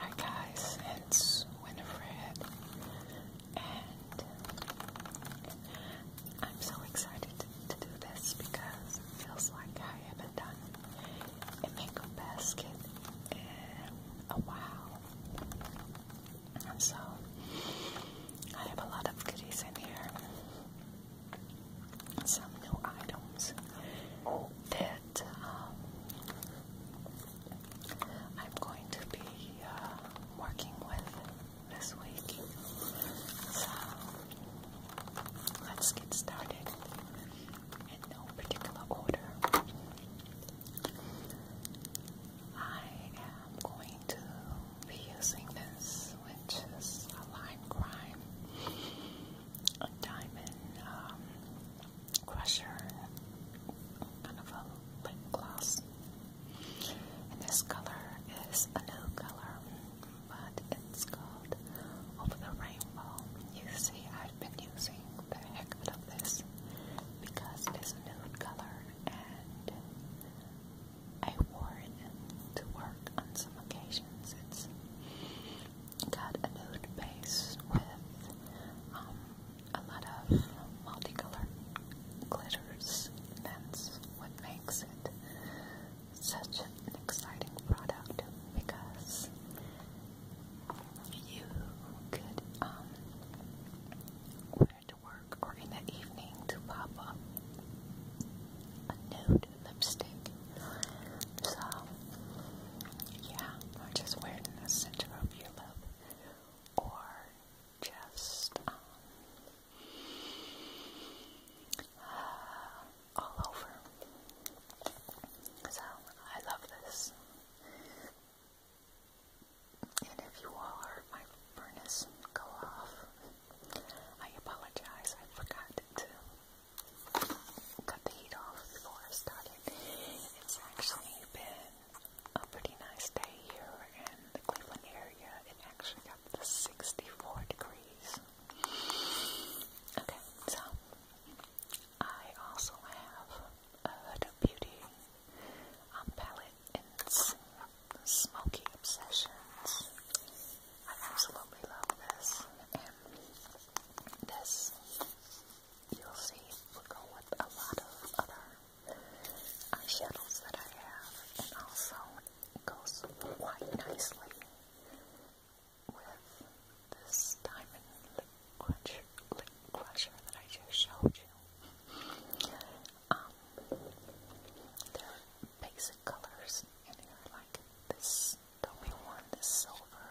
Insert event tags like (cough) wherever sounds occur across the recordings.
Hi guys, it's Winifred, and I'm so excited to, do this because it feels like I haven't done a mango basket in a while. And so, I have a lot of goodies in here. Some new items. Um, I'm going to be uh, working with this week. So let's get started in no particular order. I am going to be using this, which is a lime crime, a diamond um, crusher, kind of a lip gloss. And this color is a new color, but it's called Over the Rainbow. You see, I've been using the heck out of this because it is a nude color and I wore it to work on some occasions got a nude base with um, a lot of multicolored glitters. That's what makes it such an exciting product because you could um, wear it to work or in the evening to pop up a nude lipstick. So, yeah, or just wear it in the center of your lip, or just um, uh, all over. So, I love this. And if you all heard my furnace go off, I apologize. I forgot to cut the heat off before I it's actually been a pretty nice day here in the Cleveland area. It actually got to 64 degrees. Okay, so I also have a beauty um, palette in Smoky Obsessions. I absolutely love this. And this you'll see it will go with a lot of other eyeshadows uh, that I have, and also it goes quite nicely with this diamond lip cruncher, lip crusher that I just showed you. Um, they're basic colors in here, like this doughy one, this silver,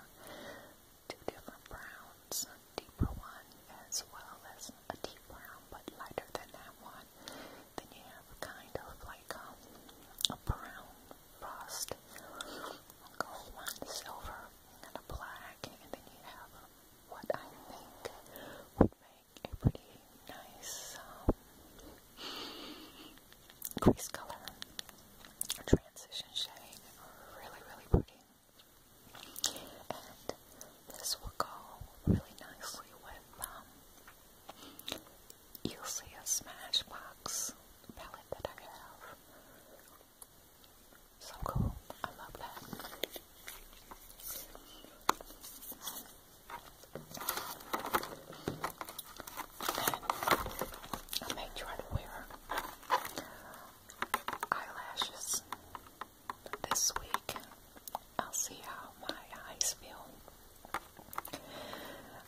two different browns, a deeper one as well as a deep brown but lighter than that one. Then you have kind of like um, a, brown frost, gold one, silver, and a black, and then you have what I think would make a pretty nice um, crease color, transition shade, really, really pretty this will go really nicely with um you'll see a smashbox palette that I have. So cool. I love that. I made sure to wear eyelashes this week. I'll see how my eyes feel.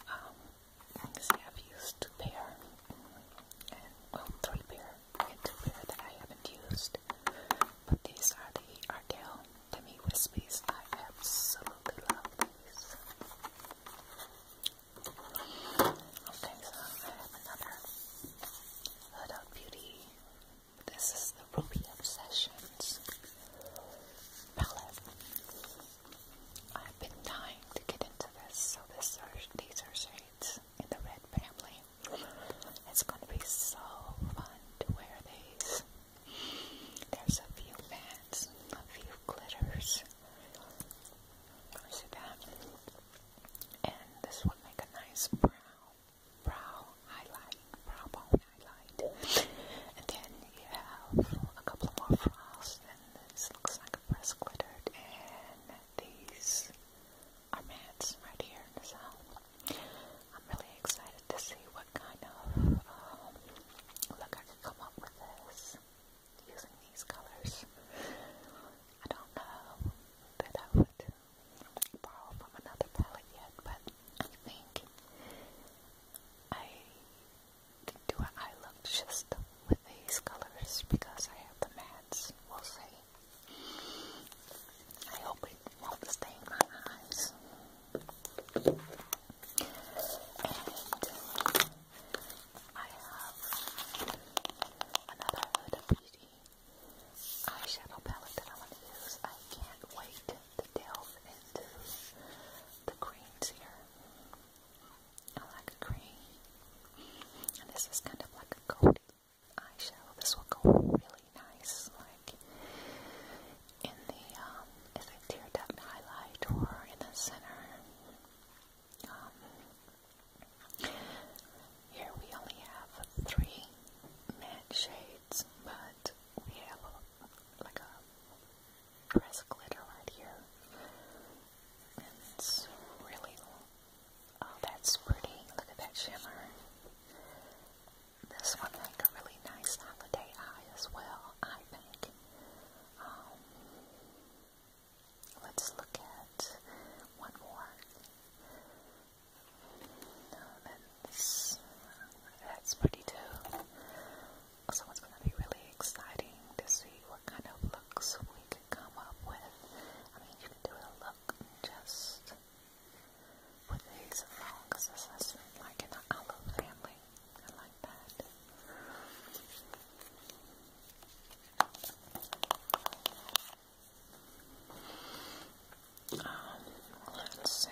Um, I've used pair, and well, three pair, and two pair that I haven't used. But these are the Ardell Demi Wispies. I absolutely love these. Okay, so I have another Huda Beauty. This is the Ruby Obsession palette. I've been dying to get into this, so this are, these are shades in the red family. It's going to be so fun to wear these. There's a few bands, a few glitters. Where's it at? and this will make a nice brow, brow highlight, brow bone highlight. And then you have a couple more frosts, and this looks like a press glittered, and these are mats right here in the I'm really excited to see what kind of um, look I can come up with using these colors. I don't know that I would borrow from another palette yet, but I think I do an eye look just with these colors because I have the mattes. We'll see. I hope it won't stain my eyes. I have another Huda Beauty eyeshadow palette that I want to use. I can't wait to delve into the greens here. I like green. And this is kind of like a gold eyeshadow. This will go really nice, like in the um, if a tear highlight or in the center. Um, here we only have three matte shades, but we have like a pressed glitter right here. it's really, oh, that's pretty. Look at that shimmer. This would make a really nice holiday eye as well, I think. Let's look at one more. No, that's, that's pretty too. Also, it's going to be really exciting to see what kind of looks we can come up with. I mean, you can do a look just with these alone because like in the olive family. I like that. Um, let's see.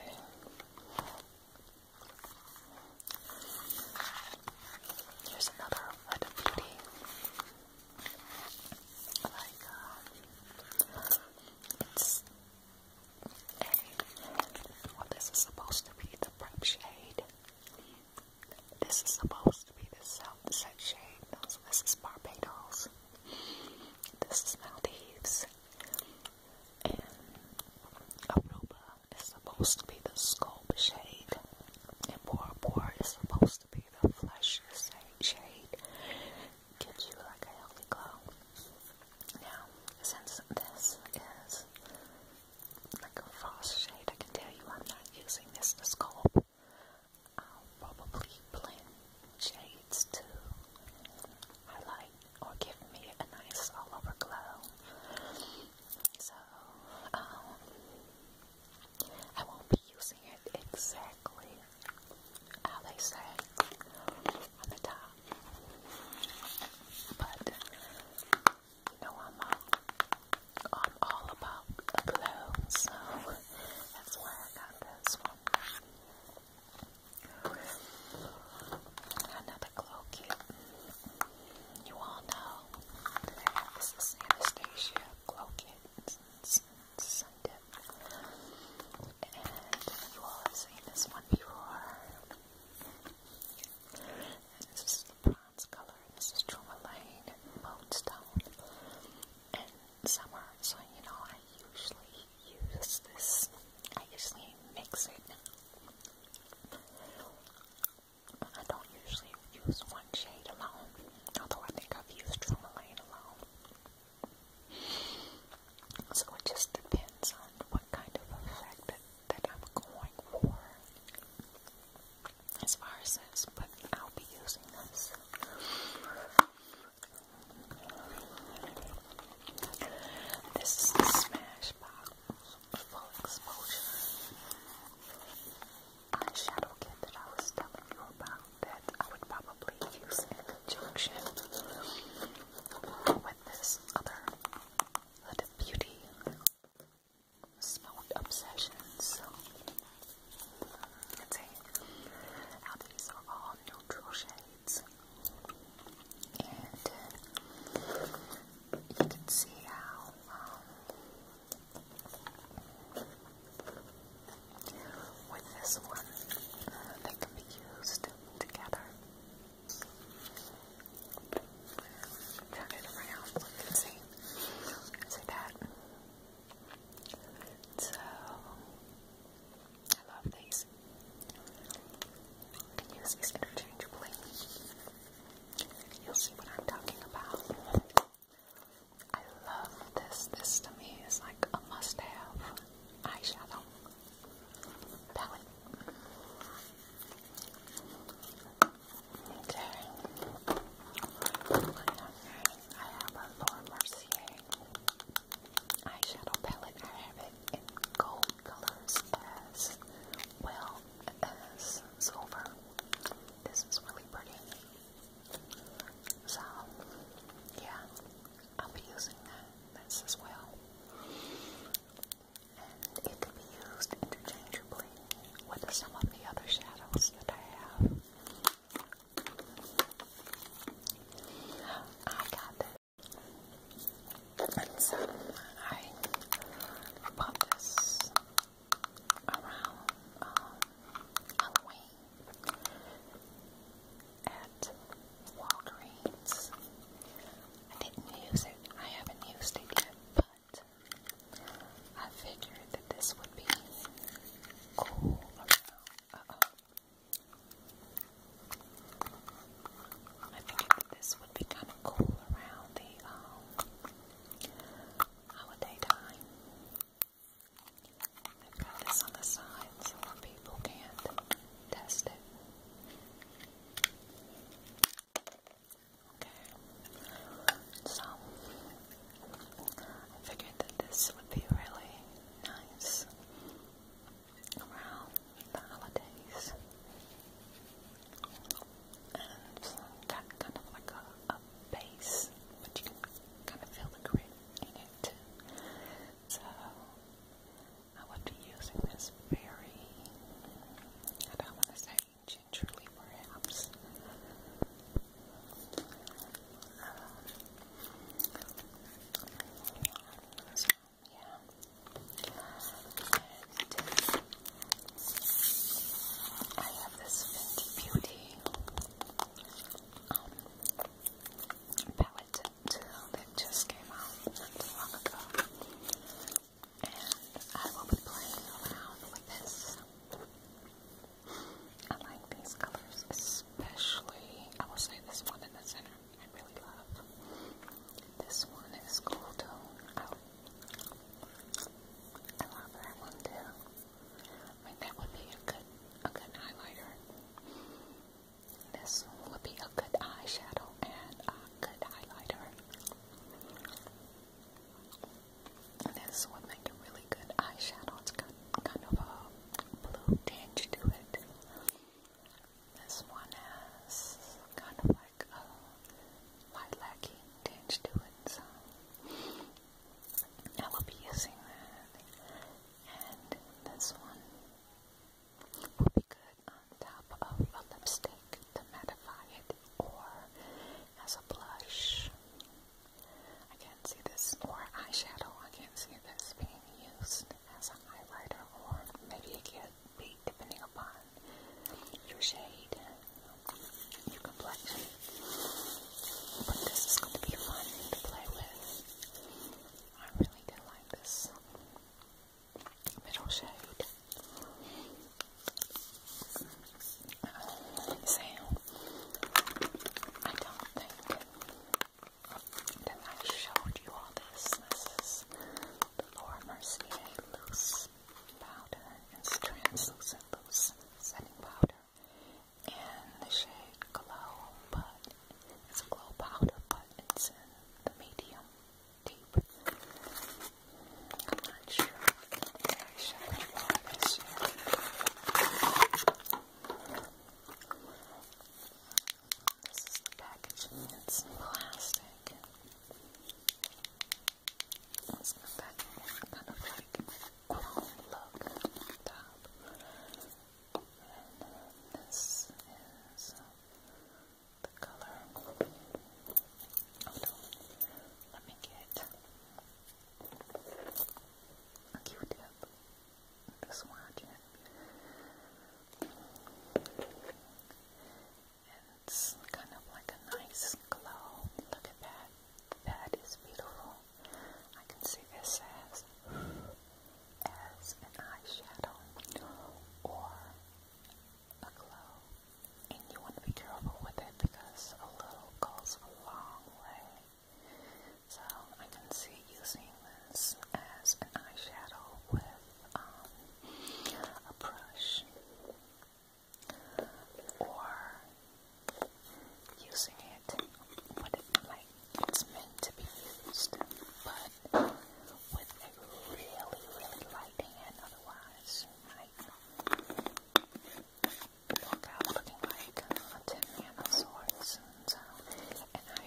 Here's another Beauty. Like, um, it's a, well, this is supposed to be the prep shade. This is supposed to be the self set shade. this is Barbados. This is Maldives. And Aruba is supposed to be the sculpt shade. And Bora Bora is supposed to be the flesh shade. Gives you like a healthy glow. Now, since this is like a frost shade, I can tell you I'm not using this to sculpt. I'll probably blend shades to highlight or give me a nice all-over glow. So, um, I won't be using it exactly how they say on the top, but you I'm uh, I'm all about the clothes, so that's why I got this one. Another glow kit. You all know this is Anastasia glow kit. Scented. And you all have seen this one before. this is the bronze color. This is Tourmaline Moonstone and Summer. So, you know, I usually use this. I usually mix it. I don't usually use one shade alone, although I think I've used Tourmaline alone. So it just depends on what kind of effect that, that I'm going for as far as this, but I'll be using this. This is the Smash Full Exposure eyeshadow kit that I was telling you about that I would probably use in conjunction with this other Huda Beauty Smoked Obsessions. Let's see. Now these are all neutral shades. And uh, you can see how um, with this one uh, they can be used together. Turn it around, you can see. See that? So I love these. can use these interchangeably. You'll see what I'm talking about. I love this. This to me is like a must-have eyeshadow palette. Okay. I have a Laura Mercier eyeshadow palette. I have it in gold colors as well as silver. This is really pretty. So, yeah, I'll be using that this as well. And it can be used interchangeably with some of the other shadows that I have. I got this. And so I bought this around uh, Halloween at Walgreens. I didn't use it. I haven't used it yet, but I figured that this would be cool around. Uh oh. I figured that this would be kind of cool around the um, holiday time. I've got this on the side so people can't test it. Okay, so I figured that this would be really nice around the holidays. And got kind of like a, base, but you can kind of feel the grit in it So I would be using this very, I don't want to say gingerly perhaps, so, yeah. I have this Beauty palette that just came out long ago. And I will be playing around with this I like these colors, especially, I will say this one in the center, I really love. This one is cool tone. Oh, I love that one too. that would be a good, a good highlighter. This would be a good eyeshadow and a good highlighter this would make a really good eyeshadow. It's got kind of a blue tinge to it. This one has kind of like a lilac tinge to it. I will be using that. And this one will be good on top of a lipstick to mattify it or as a blush. I can't see this, or eyeshadow, I can't see this being used as a highlighter, or maybe it could be depending upon your shade, um, your complexion. But this is going to be fun to play with. I really do like this middle shade. So, I don't think that I showed you all this. the Laura Mercier Loose Powder. It's translucent loose setting powder in the shade Glow, but it's glow powder, but it's in the medium deep. I'm not sure so much more of this This is the packaging, it's plastic. It's got that kind of like chrome um, look at the top. And uh, this is uh, the color. Oh no, let me get a Q-tip with a It's kind of like a nice glow. Look at that. That is beautiful. I can see this as as an eyeshadow or a glow. And you want to be careful with it because a little goes a long way. So I can see using this as an eyeshadow with um, a brush or using it what it's meant to be used, but with a really, really light hand, otherwise you walk out looking like a tin man of sorts. And, uh, and I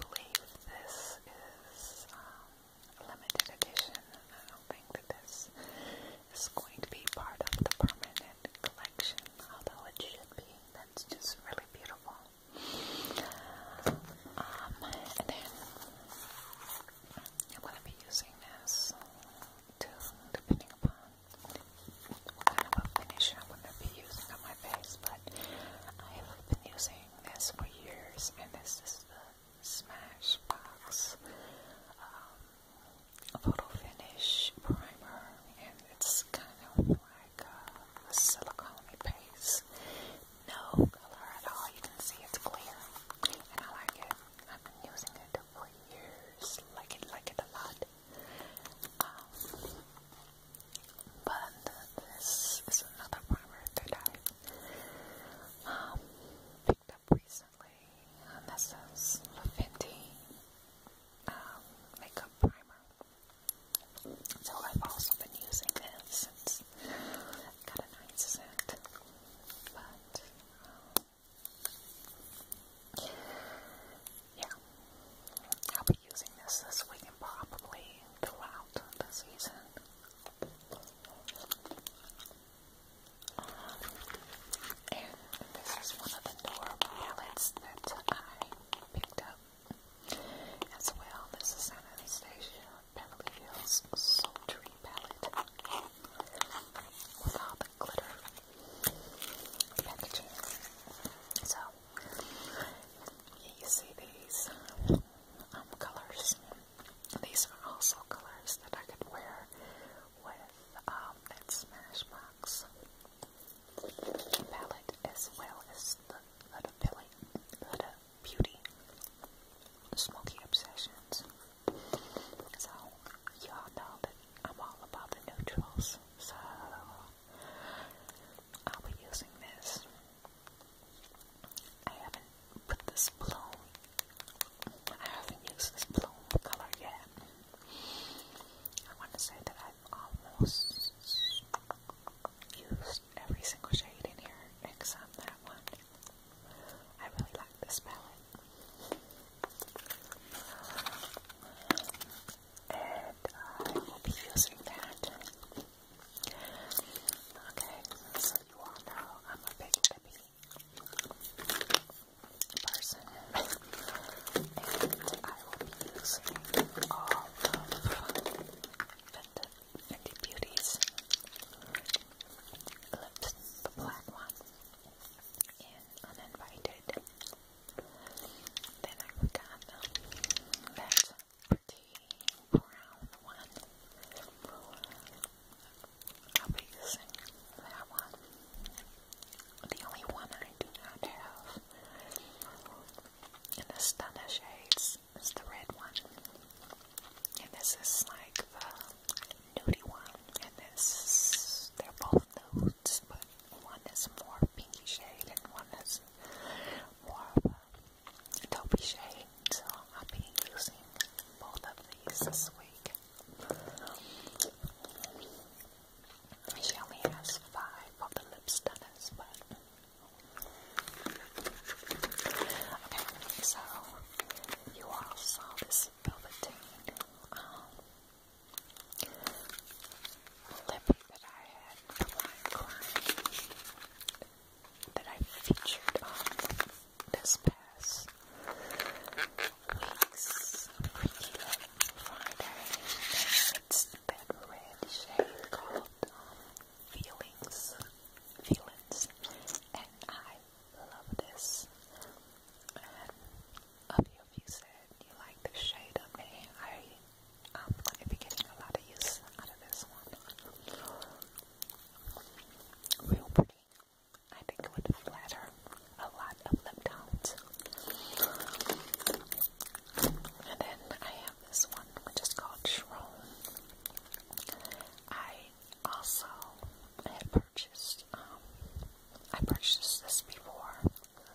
believe this is um, limited edition. I don't think that this is going to be part of the permanent collection, although it should be. That's just really beautiful. Um, and then I'm going to be using this to, depending upon what kind of a finish I'm going to be using on my face, but I have been using this for years, and this is the Smashbox um, Photo Finish Primer, and it's kind of like a, a silicone base, no color at all, you can see it's clear, and I like it, I've been using it for years. Like it, like it a lot. Um, but this is another primer that I um, picked up recently. this is La Makeup Primer. So I've also been using this. It's got a nice But um, yeah. I'll be using this this week and probably throughout the season. and this is one of the door palettes that I picked up as well. This is Anastasia Beverly Hills Sultry Palette glitter packaging. So you see these um, colors. These are also colors that I could wear with um, that Smashbox palette as well as the Huda Beauty Smoky Obsessions so, you all know that I'm all about the neutrals, so I'll be using this. I haven't put this bloom, I haven't used this bloom color yet. I want to say that I've almost used every single shade in here except that one. I really this palette. And I will be using that. Okay, so you all know I'm a big lippy person. and I will be using all of Fenty Beauty's lips, the black one, in Uninvited started. Then I forgot um, that pretty brown one. I'll be using that one. The only one I do have in the Stunner shades is the red one. And this is like the nudie one, and this, they're both nudes, but one is more pinky shade and one is more of a taupey shade, so I'll be using both of these this week. She only has five of the lip stunners, but... Okay, so you all saw this velveteen um, lip that I had Prime that I featured on this past week's Friday. It's that red shade called um, Feelings. Feelings. And I love this of you if you said you like the shade of the I am going to be getting a lot of use out of this one. Real pretty. I think it would flatter a lot of lip tones. And then I have this one, which called Shroom. I also had um, I purchased this before,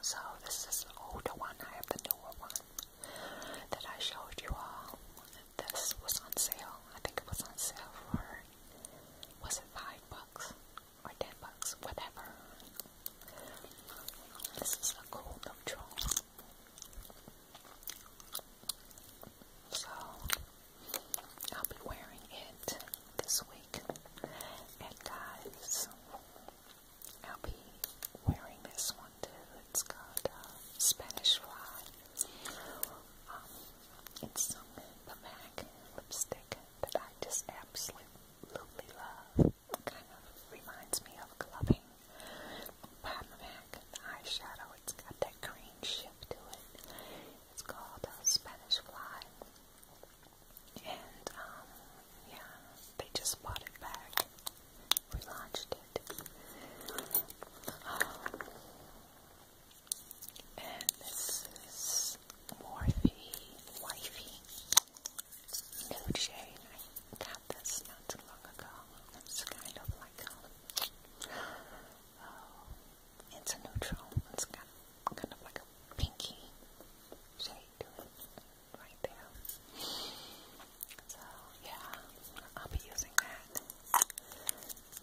so this is the older one. I have the newer one that I showed you all. This was on sale. I think it was on sale for was it five bucks or ten bucks, whatever. This is a cool neutral. So I'll be wearing it this week. And guys, I'll be wearing this one too. It's called uh, Spanish Fly. Um, it's some Pamac lipstick that I just absolutely love. Kind of reminds me of clubbing. Pamac eyeshadow. It's got that green ship to it. It's called uh, Spanish Fly. And um, yeah, they just bought it back, relaunched it. Um, and this is Morphe Wifey Nude Shade. I got this not too long ago. It's kind of like a, um, oh, it's a neutral. It's got kind of like like a pinky shade right there. So yeah, I'll be using that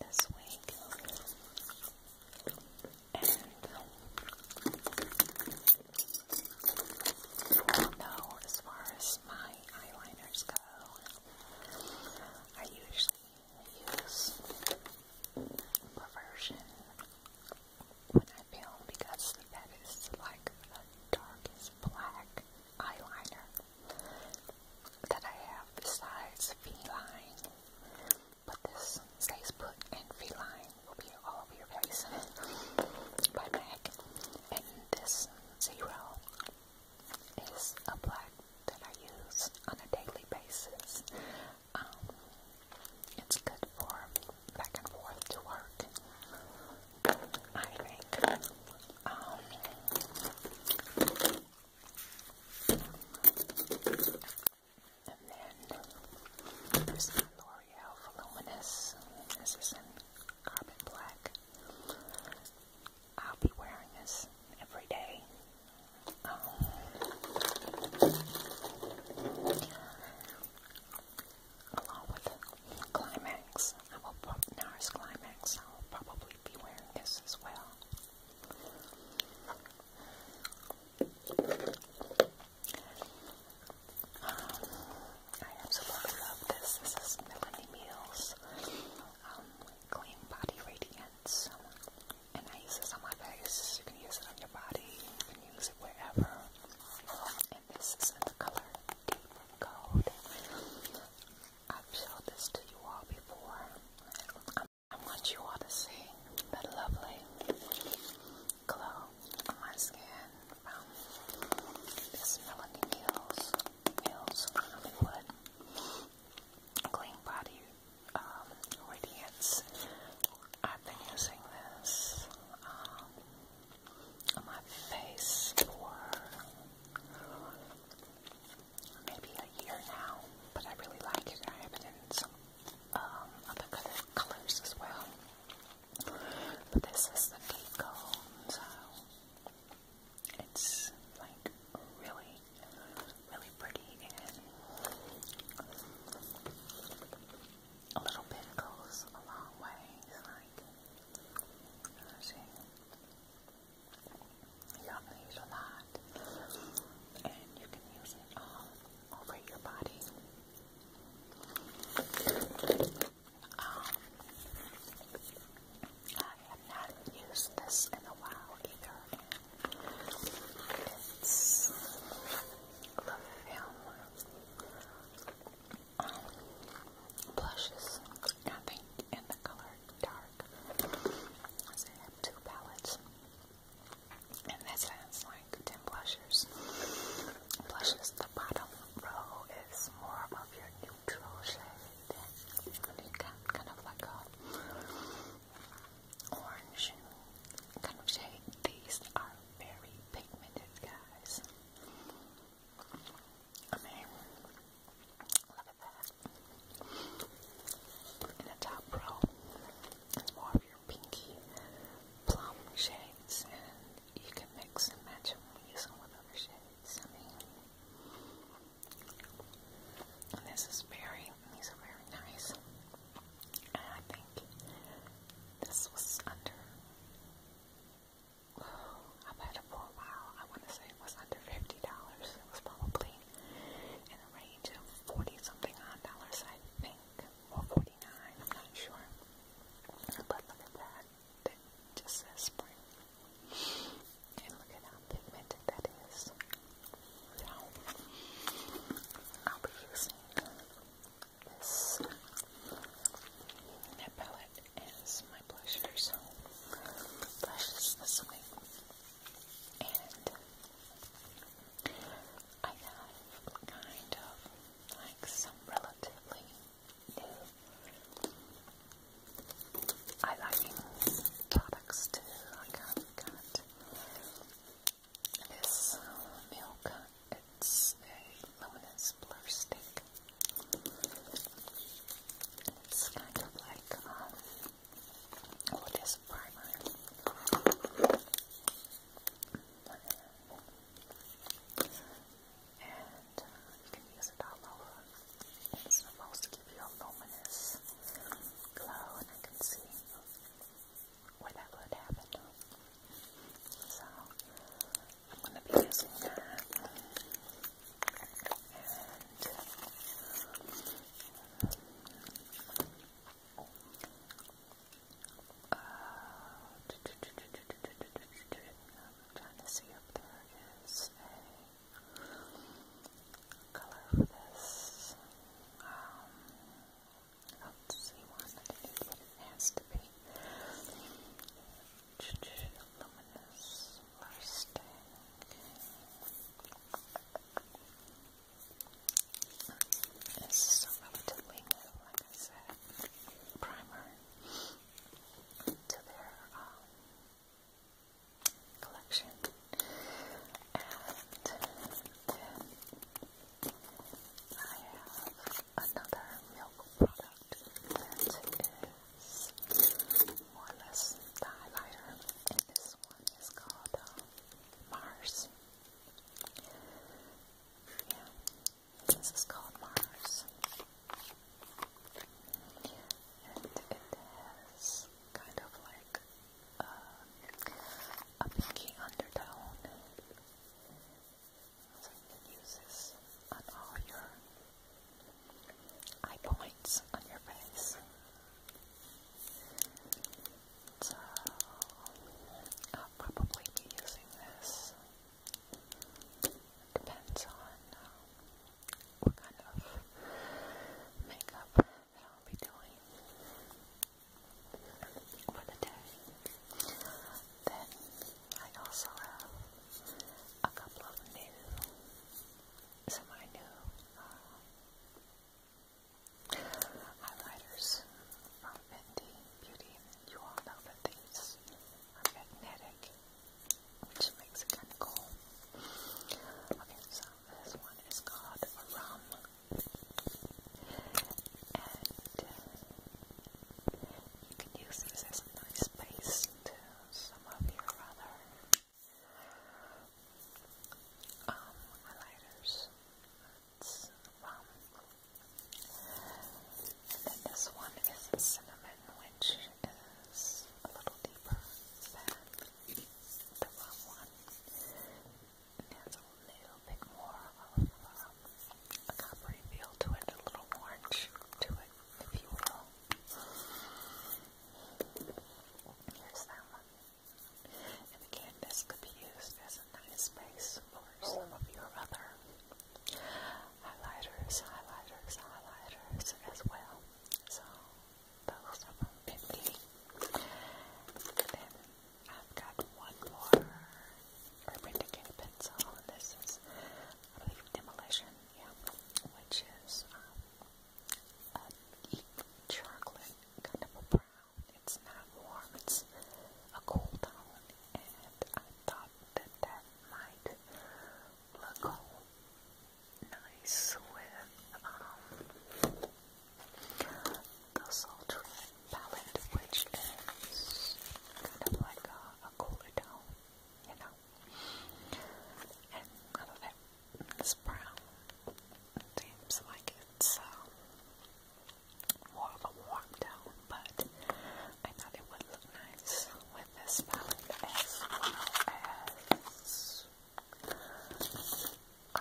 this week. And no, as far as my eyeliners go, I usually use Perversion when I film because that is like the darkest black eyeliner that I have besides feline. But this stays put and feline will be all over your face (laughs) by MAC. And this zero is a black that I use on a daily basis. Um, it's good for back and forth to work. I think. Um, and then there's the L'Oreal Voluminous. This is in Carbon Black. I'll be wearing this every day. Along with climax, I will NARS climax. I will probably be wearing this as well. Um, I absolutely love this. This is Melanie Meals um, Clean Body Radiance and I use this on my face. You can use it on your body. You can use it wherever. And this is in the color Deep Gold. I've showed this to you all before. I'm, I want you all to see the lovely glow on my skin from this Melanie Mills, Mills Hollywood Clean Body um, radiance. I've been using this um, on my face for maybe a year now, but I really like it. I have it in some um, other colors as well. But this is the deep so it's like really, really really pretty and a little bit goes a long way. It's like, see, you don't use a lot, and you can use it all over your body. Um, I have not used this in a while either, and it's the film blushes. I think in the color dark. I have two palettes, and that like ten blushes. Blushes. The bottom row is more of your neutral shade. you got kind of like a orange and kind of shade. These are very pigmented, guys. I mean, look at that. In the top row, it's more of your pinky plum shades, and you can mix and match them and use them with other shades. I mean, this is very these are very nice. And I think this was under, oh, I've had it for a while. I want to say it was under $50. It was probably in the range of 40 something odd dollars, I think, or 49, I'm not sure. But look at that. That just says spring. And look at how pigmented that is. Now, I'll be using this palette is my blusher, so this week. And I have kind of like some relatively new highlighting products too. I've got this milk. It's a luminous blur stick. It's kind of like um, what is primer? And uh, you can use it all over. It's supposed to give you a luminous glow, and I can see where that would happen. So I'm going to be using that. And uh, I'm trying to see if there is a color for this. Um, I'll see one. I think that's what it has to be. Luminous bursting. This is a relatively new, like I said, primer um, to their um, collection. And then I have another milk product that is more or less the highlighter, and this one is called uh, Mars. Yeah, this is called Mars. And it has kind of like a pinky undertone. So you can on all your eye points on your face. So I'll probably be using this. Depends on uh, what kind of makeup that I'll be doing for the day. Then I also have a couple of new, some of my new uh, highlighters from Fenty Beauty. You all know that these are magnetic, which makes it kind of cool. Okay, so this one is called Rum and uh, you can use this as a nice base to some of your other um, highlighters. Um, and then this one is cinnamon, which is a little deeper than the rum one and has a little bit more of um, a coppery feel to it, a little orange to it, if you will. Here's that one. And again, this could be used as a nice base for some of your other highlighters, highlighters, highlighters as well. So, those of them can I've got one more Urban Decay pencil, and this is, I believe, Demolition, yeah, which is um, a chocolate kind of a brown. It's not warm, it's a cool tone, and I thought that that might look cool. Nice with um, the sultry palette, which is kind of like a, a cooler tone, you know. And I love it. This brown seems like it's more um, of a warm tone, but I thought it would look nice with this palette as the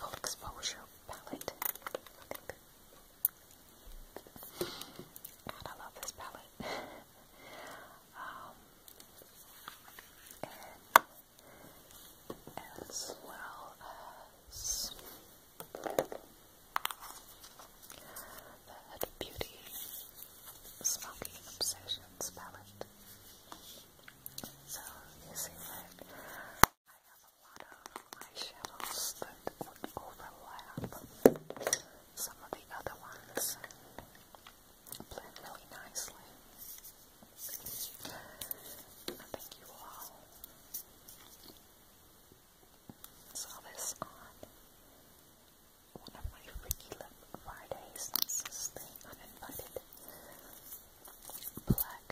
uh, exposure palette. God, I love this palette. (laughs) um, as well as the Beauty Smoky Obsessions palette. So, you see I have a lot of eyeshadows that overlap some of the other ones and blend really nicely. I think you all saw this on one of my Freaky Lip Fridays. This is the Uninvited Black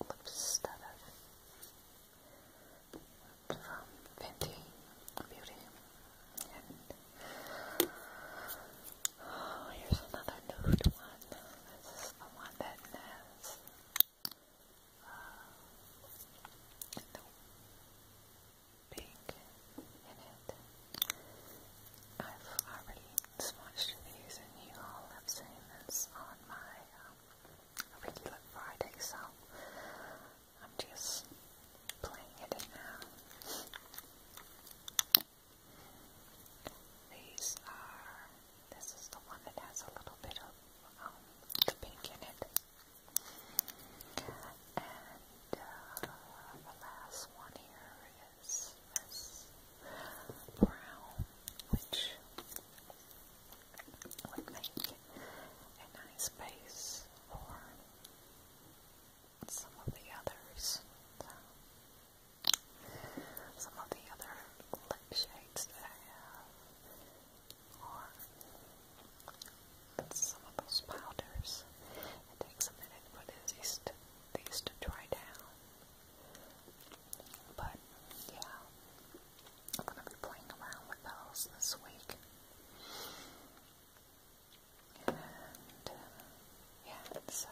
Lip Stutter from Fenty Beauty. And oh, here's another nude one. This is the one that has uh, no pink in it. I've already swatched these and you all have seen this on my um, regular Friday, so I'm just playing it now. These are, this is the one that has a little bit of um, the pink in it. And uh, the last one here is this brown, which would make a nice base for some of the others. some of the other lip shades that I have some of those powders. It takes a minute for these to, these to dry down. But yeah, I'm gonna be playing around with those this week. And yeah, so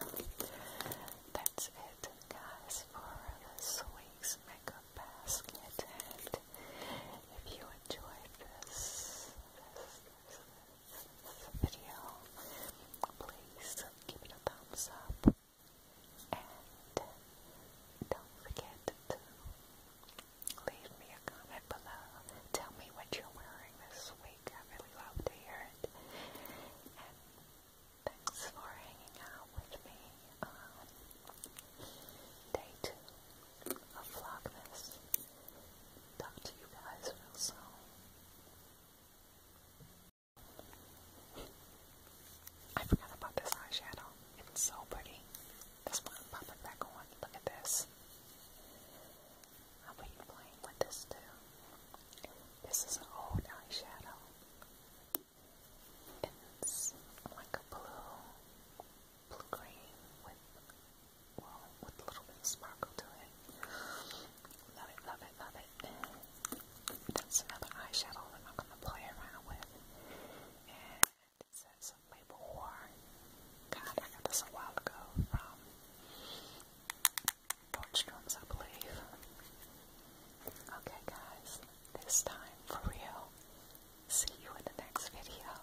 that's it, guys, for this week's makeup basket. if you enjoyed this, video, please give it a thumbs up and don't forget to leave me a comment below. Tell me what you're wearing this week. I really love to hear it. And thanks for hanging out with me on day two of Vlogmas. Talk to you guys real soon. I forgot about this eyeshadow. It's so pretty. This one pop it back on. Look at this. I'll be playing with this too. This is an old eyeshadow. It's like a blue, blue green with well, with a little bit of sparkle to it. Love it, love it, love it. that's another eyeshadow that I'm going to play around with. And it says Label War. God, I got this a while ago from Nordstrom's, I believe. Okay, guys, this time for real. See you in the next video.